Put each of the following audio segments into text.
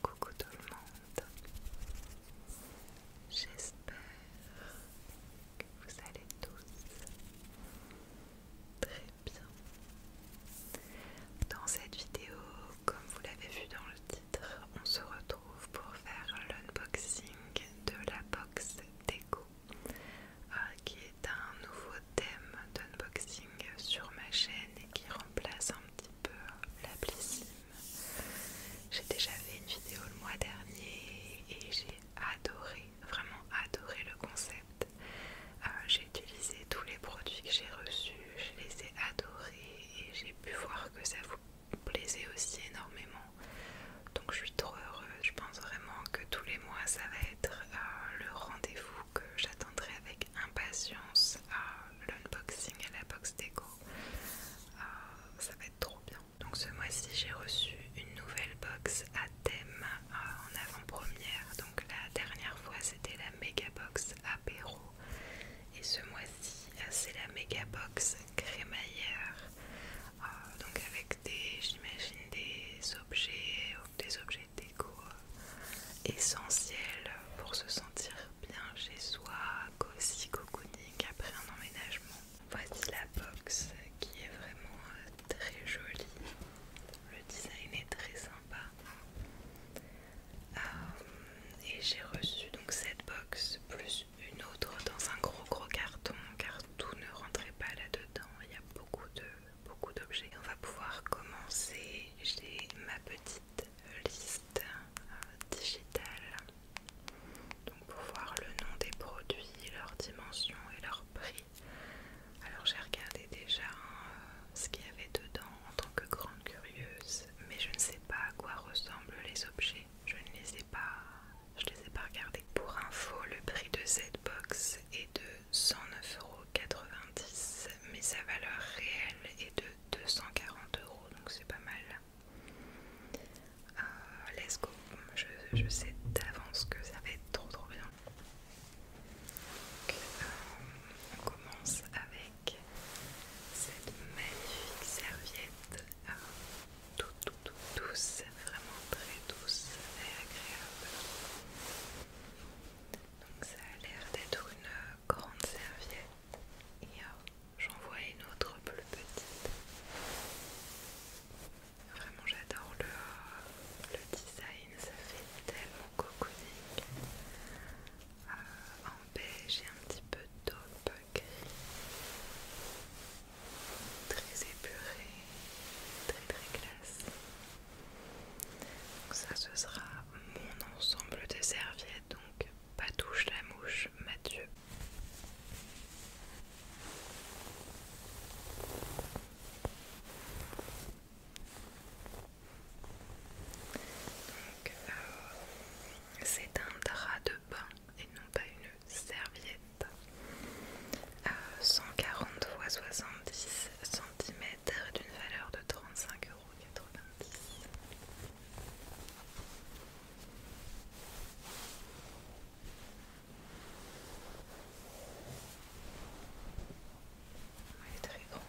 Coucou tout le monde, j'espère que vous allez tous très bien. Dans cette vidéo, comme vous l'avez vu dans le titre, on se retrouve pour faire l'unboxing de la box déco euh, qui est un nouveau thème d'unboxing sur ma chaîne et qui remplace un petit peu la Blissim. J'ai déjà fait une vidéo le mois dernier et j'ai adoré, vraiment adoré le concept. Euh, j'ai utilisé tous les produits que j'ai reçus, je les ai adorés et j'ai pu voir que ça vous plaisait aussi énormément. Donc je suis trop heureuse, je pense vraiment que tous les mois ça va euh, le rendez-vous que j'attendrai avec impatience, à l'unboxing à la box déco. Euh, ça va être trop bien. Donc ce mois-ci j'ai reçu une nouvelle box à thème euh, en avant-première. Donc la dernière fois c'était la méga box apéro. Et ce mois-ci c'est la méga box crémaillère. donc avec des j'imagine des objets des objets déco euh, essentiels pour se sentir bien chez soi, cosy, cocooning après un emménagement. Voici la box qui est vraiment euh, très jolie. Le design est très sympa. Euh, et j'ai reçu donc cette box plus une autre dans un gros gros carton car tout ne rentrait pas là-dedans. Il y a beaucoup de euh, beaucoup d'objets. On va pouvoir commencer. J'ai ma petite liste euh, digitale donc pour voir le nom des produits, leurs dimensions et leur prix. Alors j'ai regardé déjà euh, ce qu'il y avait dedans en tant que grande curieuse, mais je ne sais pas à quoi ressemblent les objets. Je ne les ai pas, je les ai pas regardés. Pour info, le prix de cette box est de 109,99€ mais sa valeur réelle est de 240 euros, donc c'est pas mal. Euh, let's go, je, sais d'avance que ça va être trop trop bien. Donc, euh, on commence avec cette magnifique serviette euh, tout' douce, vraiment très douce et agréable. Donc ça a l'air d'être une euh, grande serviette et euh, j'en vois une autre plus petite. Vraiment j'adore le, euh, le design, ça fait tellement cocooning. en beige et un petit peu taupe gris. Très épuré, très très classe ça ce sera mon ensemble de serviettes, donc touche la mouche, Mathieu. Donc euh, c'est un drap de bain et non pas une serviette. 140 x 70 cm d'une valeur de 35,90€ euros. Elle est très grande.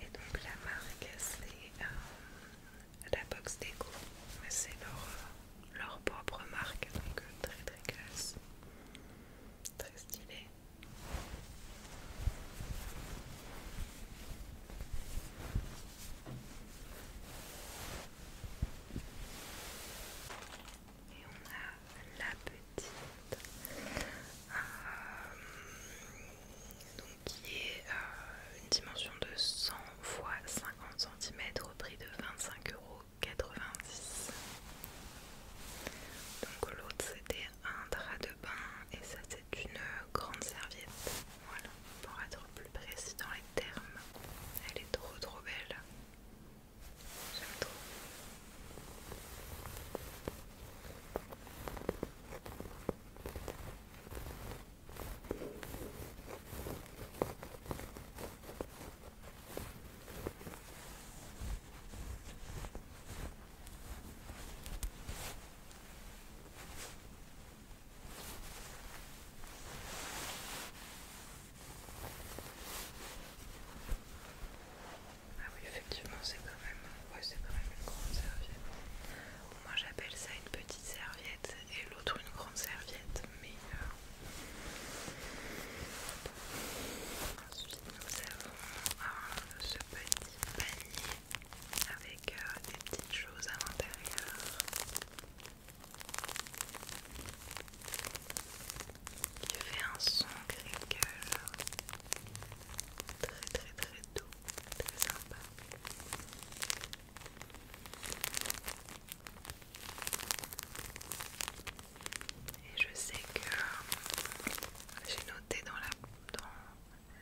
Et donc la marque c'est euh, la box déco, c'est leur, euh, leur propre marque, donc euh, très très classe. Très stylé. Et on a la petite, euh, qui est euh, une dimension de 100 x 50 cm au prix de 25 euros 90 Donc l'autre c'était un drap de bain et ça c'est une grande serviette. Voilà, pour être plus précis dans les termes. Elle est trop trop belle. J'aime trop. Ah oui, effectivement, c'est quand même, une grande serviette. Moi, j'appelle ça une petite serviette et l'autre une grande serviette ensuite nous avons ce petit panier avec des petites choses à l'intérieur. Qui fait un son cœur très très très doux, très sympa. Et je sais que euh, j'ai noté dans la, dans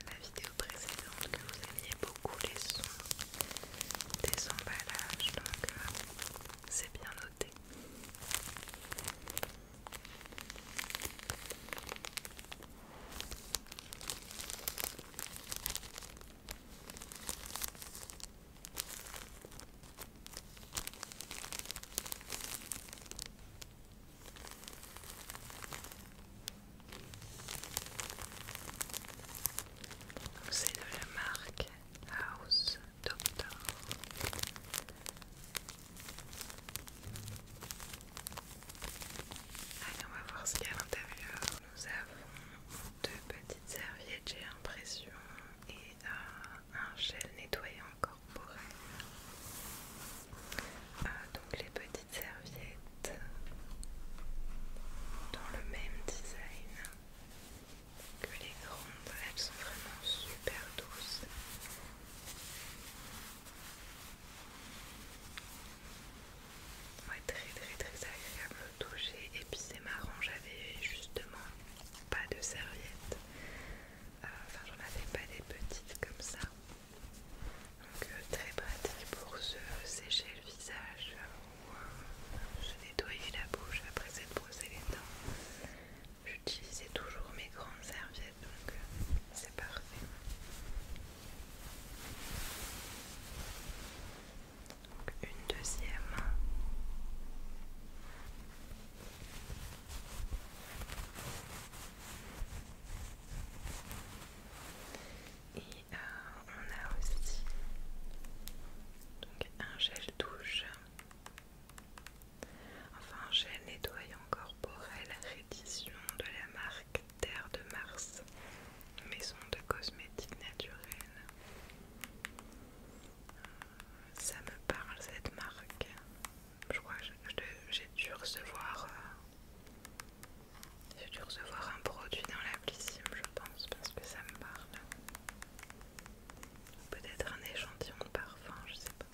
la vidéo précédente que vous aimiez beaucoup les sons des emballages, donc euh, c'est bien noté. C'est de la marque House Doctor. Allez, on va voir ce qu'il y a à l'intérieur. Nous avons deux petites serviettes, j'ai l'impression, et un un gel nettoyant pour elle euh, donc les petites serviettes dans le même design que les grandes, elles sont vraiment super douces. Ouais, très très très agréable au toucher et puis c'est marrant, j'avais justement pas de serviettes. Euh, enfin j'en avais pas des petites comme ça donc euh, très pratique pour se sécher le visage ou euh, se nettoyer la bouche après s'être brossé les dents j'utilisais toujours mes grandes serviettes donc c'est parfait donc une deuxième et euh, on a aussi un gel douche, enfin un gel nettoyant corporel rédition de la marque Terre de Mars, maison de cosmétiques naturels ça me parle cette marque. Je crois que j'ai dû recevoir. Euh, dû recevoir un produit dans piscine, je pense, parce que ça me parle. Peut-être un échantillon de parfum, je sais pas.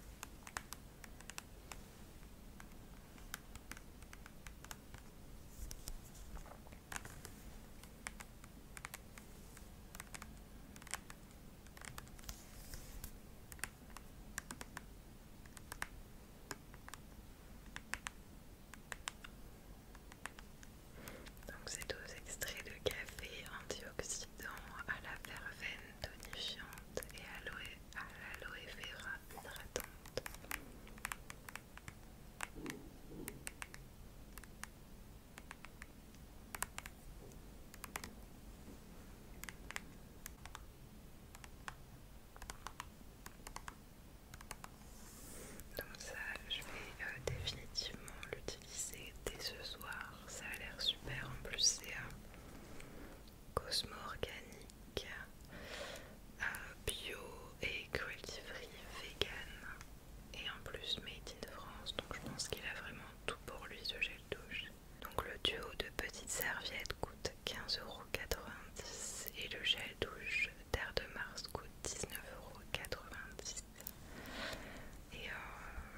Donc c'est deux extraits de café antioxydants à la verveine tonifiante et à l'aloe vera hydratante. Donc ça, je vais euh, définitivement l'utiliser dès ce soir. Ça a l'air super. En plus, c'est un Cosmo Organique euh, Bio et Cruelty Free Vegan. Et en plus Made in France. Donc je pense qu'il a vraiment tout pour lui ce gel douche. Donc le duo de petites serviettes coûte 15,90€ et le gel douche Terre de Mars coûte 19,90€. Et euh,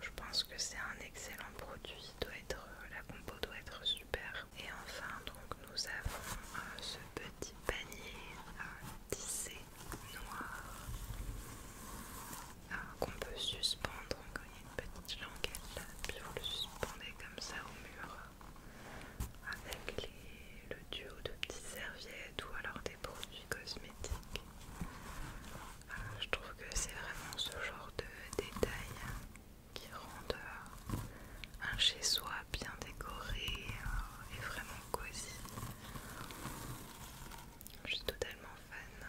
je pense que c'est un excellent produit, doit être, euh, la compo doit être super. Et enfin donc nous avons euh, ce petit panier à tisser noir ah, qu'on peut suspendre quand il y a une petite languette là, puis vous le suspendez comme ça au mur avec les, le duo de petites serviettes ou alors des produits cosmétiques. Ah, je trouve que c'est vraiment ce genre de détails qui rendent euh, un chez soi bien décoré euh, et vraiment cosy. Je suis totalement fan.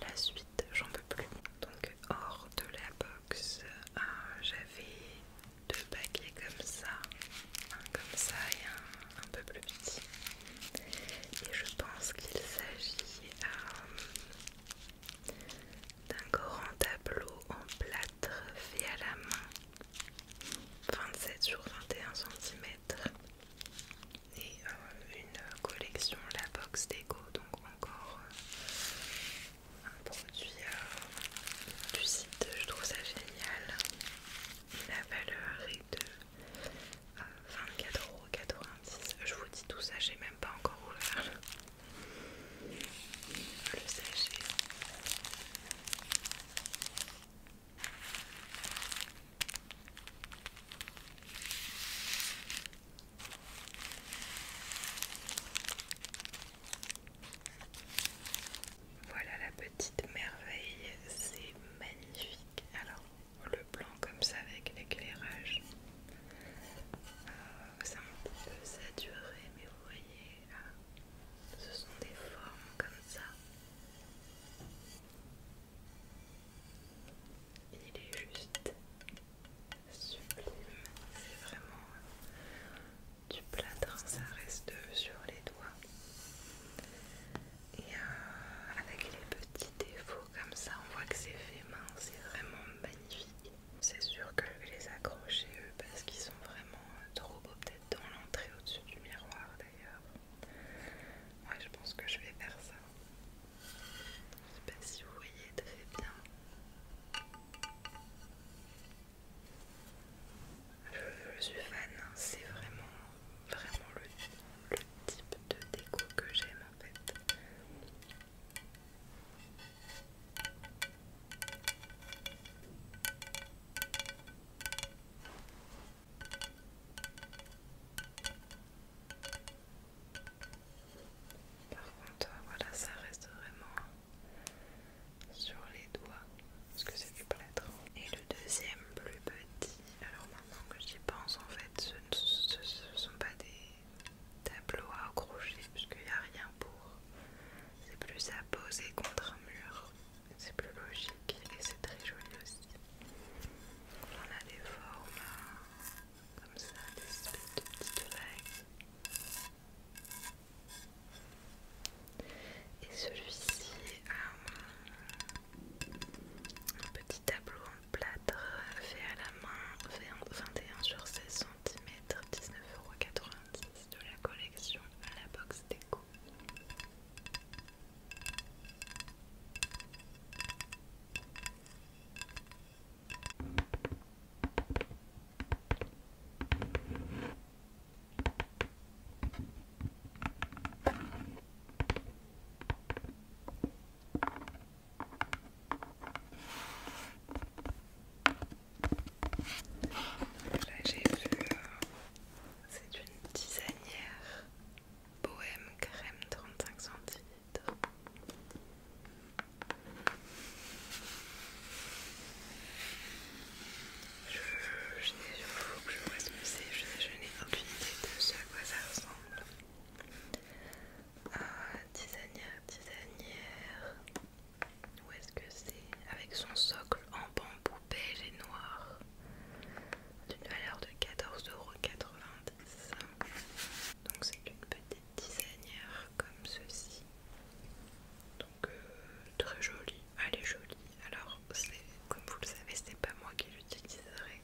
la suite, j'en peux plus. Donc hors de la box, euh, j'avais deux paquets comme ça, un comme ça et un un peu plus petit. Et je pense qu'il s'agit euh, d'un grand tableau en plâtre fait à la main, 27 sur 21 cm et euh, une collection la box déco donc encore euh, un produit euh, du site je trouve ça génial la valeur est de 24,90€ je vous dis tout ça j'ai même pas encore ouvert le voilà la petite merveille, c'est magnifique. Alors le blanc comme ça avec l'éclairage, euh, ça m'a un peu saturé, mais vous voyez ah, ce sont des formes comme ça. Il est juste sublime. C'est vraiment euh, du plâtre, hein. ça reste euh, sur les doigts. Et euh, avec les petits défauts comme ça, on voit que c'est fait main, c'est vraiment magnifique. C'est sûr que je vais les accrocher eux parce qu'ils sont vraiment trop beaux, peut-être dans l'entrée au-dessus du miroir d'ailleurs. Ouais, je pense que je vais faire ça. Je sais pas si vous voyez, très fait bien. Je, suis fan, hein. c'est vraiment, vraiment le, le type de déco que j'aime en fait. Par contre, euh, voilà, ça reste vraiment sur les doigts parce que c'est du plâtre. Et le deuxième, plus petit, alors maintenant que j'y pense, en fait, ce ne sont pas des tableaux à accrocher puisqu'il n'y a rien pour. C'est plus à poser contre un mur, c'est plus logique et c'est très joli aussi. On a des formes euh, comme ça, des espèces de petites vagues. Et celui-ci a euh, un petit tableau en plâtre fait à la main, 21 sur 16 cm, 19,90€ de la collection à la box déco. Là j'ai vu, euh, c'est une tisanière Bohème crème 35 cm Je, je, je faut que je ce que je, n'ai aucune idée de ce à quoi ça ressemble. Ah, tisanière, tisanière. Où est-ce que c'est Avec son socle en bambou beige et noir. D'une valeur de 14,80€ donc c'est une petite designer comme ceci. Donc euh, très jolie, elle est jolie. Alors comme vous le savez, c'est pas moi qui l'utiliserai.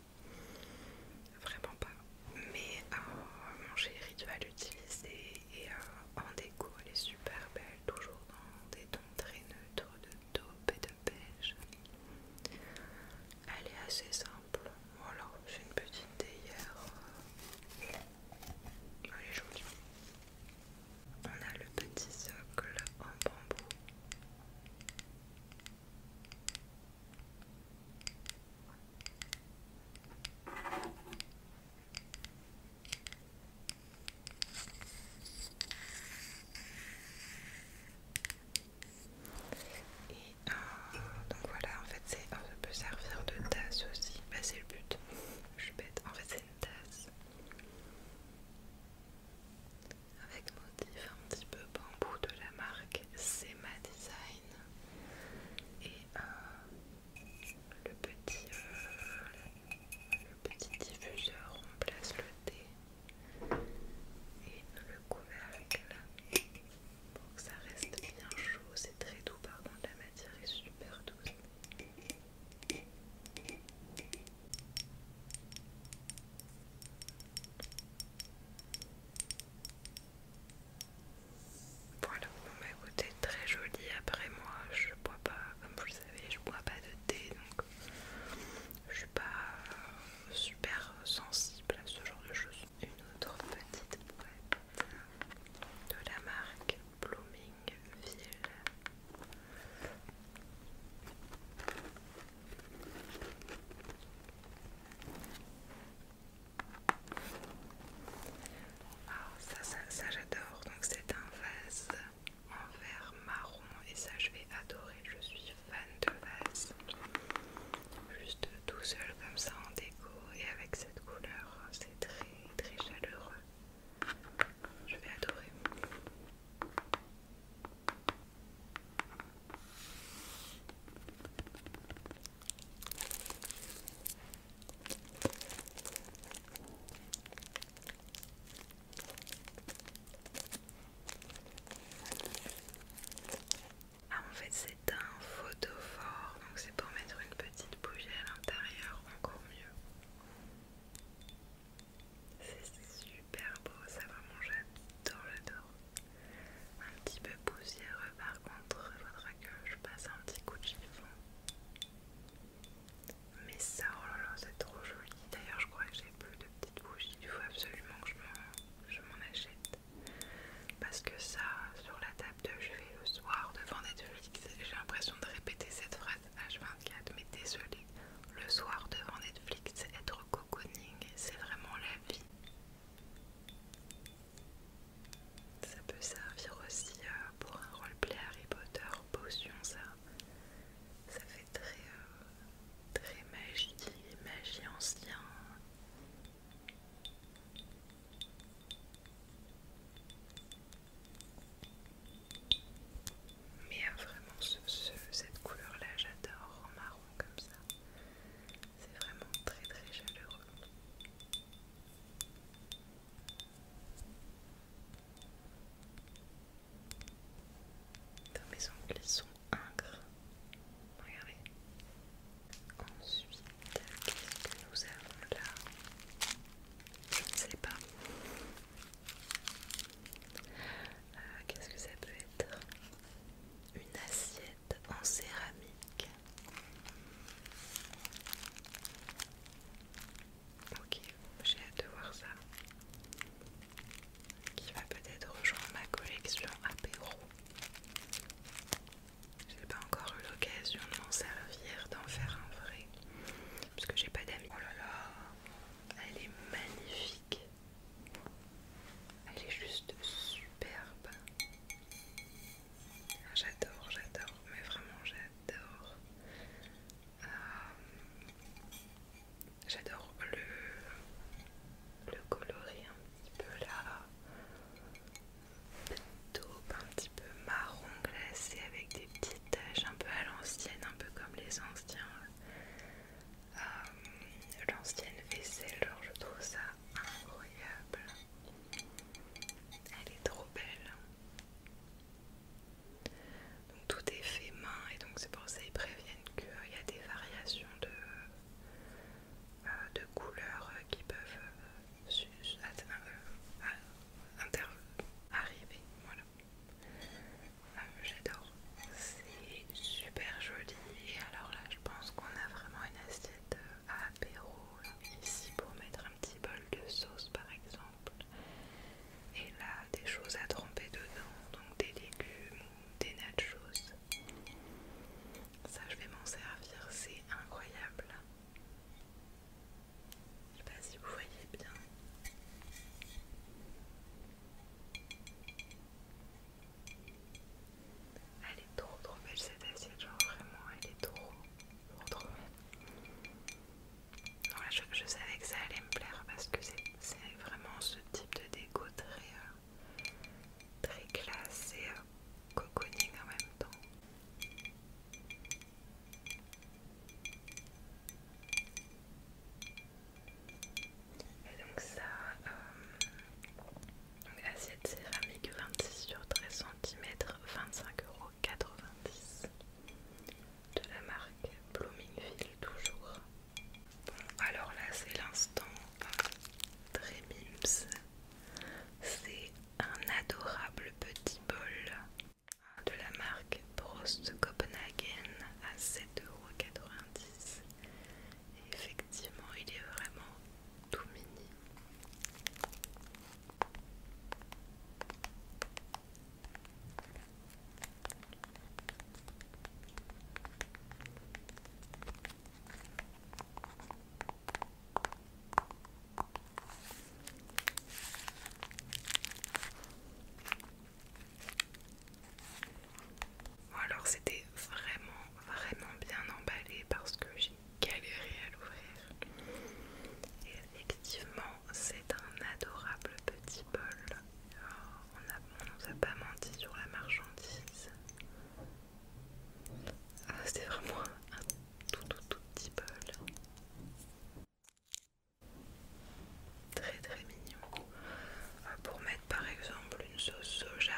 Vraiment pas. Mais euh, mon chéri va l'utiliser et euh, en déco elle est super belle, toujours dans des tons très neutres de taupe et elle est assez simple. Voilà, j'ai une petite théière. Elle est On a le petit socle en bambou. Et euh, donc voilà, en fait, c'est, un peut servir de tasse aussi. Bah, c'est le but. Je suis bête. En fait, c'est une tasse avec motif un petit peu bambou de la marque Sema Design et euh, le petit euh, le petit diffuseur on place le thé et le couvercle pour que ça reste bien chaud. C'est très doux, pardon la matière est super douce. Voilà, bon bah écoutez, très joli. Après, moi, je bois pas, comme vous le savez, je bois pas de thé donc je suis pas super sensible place ce genre de choses. Une autre petite boîte de la marque Bloomingville. Ah, ça, ça, ça j'adore. Donc c'est un vase en verre marron et ça je vais adorer. Je suis fan de Juste tout seul comme ça en déco et avec cette couleur, c'est très très chaleureux. Je vais adorer. Ah en fait c'est un photophore, donc c'est pour mettre une petite bougie à l'intérieur, encore mieux. C'est super beau, ça vraiment j'adore, j'adore. Un petit peu poussiéreux par contre, il faudra que je passe un petit coup de chiffon. Mais ça, oh là là, c'est trop joli. D'ailleurs, je crois que j'ai plus de petites bougies. Il faut absolument que je m'en achète. Parce que ça, sur la table de jeu le soir devant Netflix, j'ai l'impression de répéter cette phrase H24, mais désolé, le soir devant Netflix, être cocooning, c'est vraiment la vie. Ça peut servir aussi euh, pour un roleplay Harry Potter, potion ça. Ça fait très, euh, très magie, magie ancien, mais vraiment, cette couleur-là, j'adore en marron comme ça. C'est vraiment très très chaleureux. Dans mes ongles, Ingres. Regardez. Ensuite, qu'est-ce que nous avons là Je ne sais pas. Euh, qu'est-ce que ça peut être Une assiette en céramique. Ok, j'ai hâte de voir ça. Qui va peut-être rejoindre ma collection apéro. J'ai pas encore eu l'occasion de m'en servir, d'en faire un vrai, parce que j'ai pas d'amis. Oh là là, elle est magnifique. Elle est juste superbe. Ah, j'adore, j'adore, mais vraiment j'adore. Euh, j'adore le le colorier un petit peu là, taupe un petit peu marron glacé avec des petites taches un peu à l'ancienne, un peu comme les anciens, euh, l'ancienne vaisselle, genre je trouve ça incroyable, elle est trop belle. Donc tout est fait main et donc c'est pour ça qu'ils préviennent qu'il y a des variations de euh, de couleurs qui peuvent euh, euh, arriver. Voilà. J'adore. C'est super joli. Et alors là, je pense qu'on a vraiment une assiette à apéro ici pour mettre un petit bol de sauce par exemple. Et là, des choses à tremper dedans, donc des légumes des nachos. Ça, je vais m'en servir, c'est incroyable. Je sais pas si vous voyez bien. Elle est trop trop belle cette assiette, genre vraiment, elle est trop trop trop belle. je, savais que ça allait me plaire parce que c'est vraiment ce type de déco très euh, très classe et euh, cocooning en même temps. Et donc ça, euh, donc assiette céramique 26 sur 13 cm, 25,90€ de la marque Bloomingville, toujours. Bon alors là c'est l'instant Trémims, C'est un adorable petit bol de la marque Prost Copenhagen à 7,90€. Effectivement, il est vraiment tout mini alors c'était vraiment vraiment bien emballé parce que j'ai galéré à l'ouvrir. Et effectivement c'est un adorable petit bol. Oh, on, a, nous a pas menti sur la marchandise. Ah, C'était vraiment un tout tout tout petit bol. Très très mignon. Ah, pour mettre par exemple une sauce soja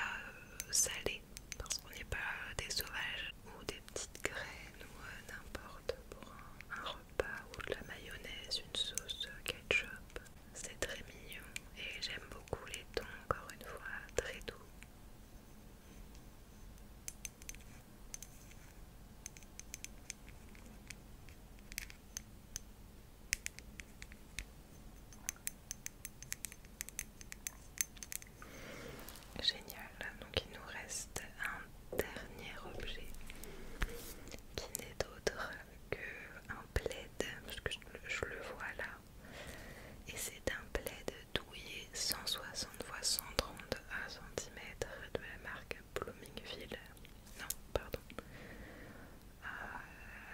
euh, salée, parce qu'on n'est pas des sauvages, ou des petites graines, ou euh, n'importe pour un, un repas, ou de la mayonnaise, une sauce euh, ketchup. C'est très mignon et j'aime beaucoup les tons, encore une fois, très doux. Génial, donc il nous reste un dernier objet qui n'est d'autre que un plaid, parce que je le vois là et c'est un plaid douillet 160 x 131 cm de la marque Bloomingville. Non, pardon. Euh,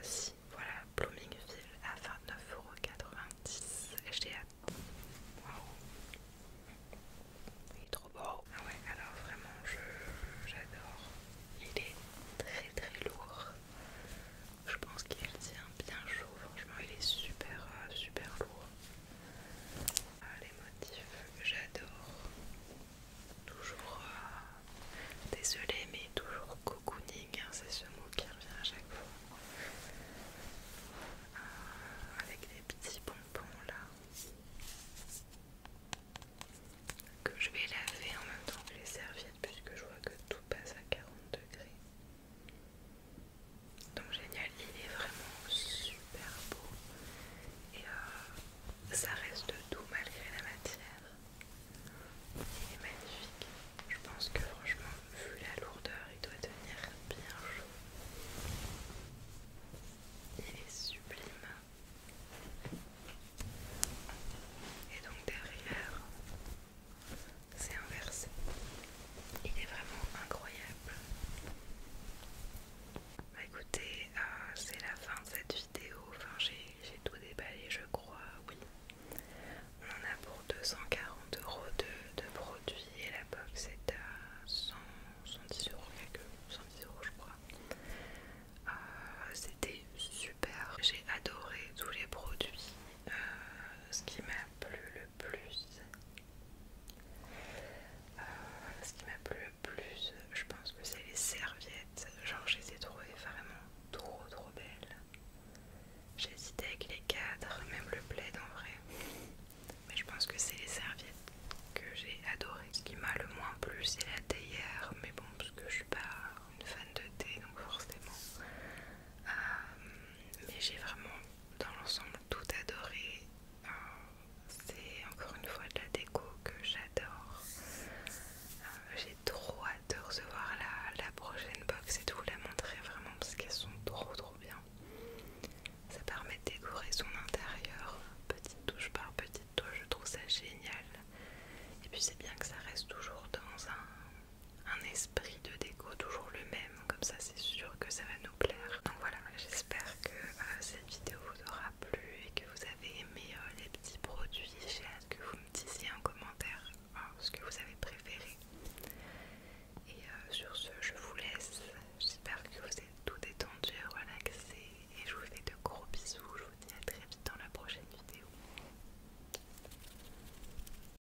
si, voilà, Bloomingville à 29,90€. J'ai Waouh! Il est trop beau! Ah ouais, alors vraiment, j'adore. Il est très très lourd. Je pense qu'il tient bien chaud, franchement il est super euh, super lourd. Ah, les motifs, j'adore. Toujours euh, désolé mais toujours cocooning, hein, c'est ce mot qui revient à chaque fois. Euh, avec des petits bonbons là que je vais laver en même temps que les serviettes puisque je vois que tout passe à 40 degrés. Donc génial, il est vraiment super beau et euh, ça reste doux malgré la matière. Il est magnifique. Je pense que franchement, vu la lourdeur, il doit tenir bien chaud. Il est sublime. Et donc derrière, c'est inversé. Il est vraiment incroyable. Bah écoutez, euh, c'est la fin de cette vidéo. Enfin, j'ai tout déballé, je crois. Oui, on en a pour 240 euros de, produits et la box est à 110 euros, quelque 110 euros, je crois. Euh, c'était super, j'ai adoré tous les produits. Euh, ce qui m'a plu le plus, euh, ce qui m'a plu le plus, je pense que c'est les serviettes. Genre, je les ai trouvées vraiment trop trop belles. J'hésitais avec les cadres, même le plaid en vrai. Mais je pense que c'est les serviettes que j'ai adorées. Ce qui m'a le moins plu, c'est la théière. Mais bon, parce que je suis pas une fan de thé, donc forcément. Euh, mais j'ai vraiment dans l'ensemble tout adoré. Euh, c'est encore une fois de la déco que j'adore. Euh, j'ai trop hâte de recevoir la, la prochaine box et de vous la montrer vraiment parce qu'elles sont trop trop bien. Ça permet de décorer son intérieur petite touche par petite touche, je trouve ça génial. Et puis c'est bien que ça reste toujours dans un un esprit de déco toujours le même, comme ça c'est sûr que ça va nous plaire. Donc voilà, j'espère que euh, cette vidéo vous aura plu et que vous avez aimé euh, les petits produits. J'ai hâte que vous me disiez en commentaire hein, ce que vous avez préféré. Et euh, sur ce, je vous laisse. J'espère que vous êtes tout détendu, relaxé et je vous fais de gros bisous. Je vous dis à très vite dans la prochaine vidéo.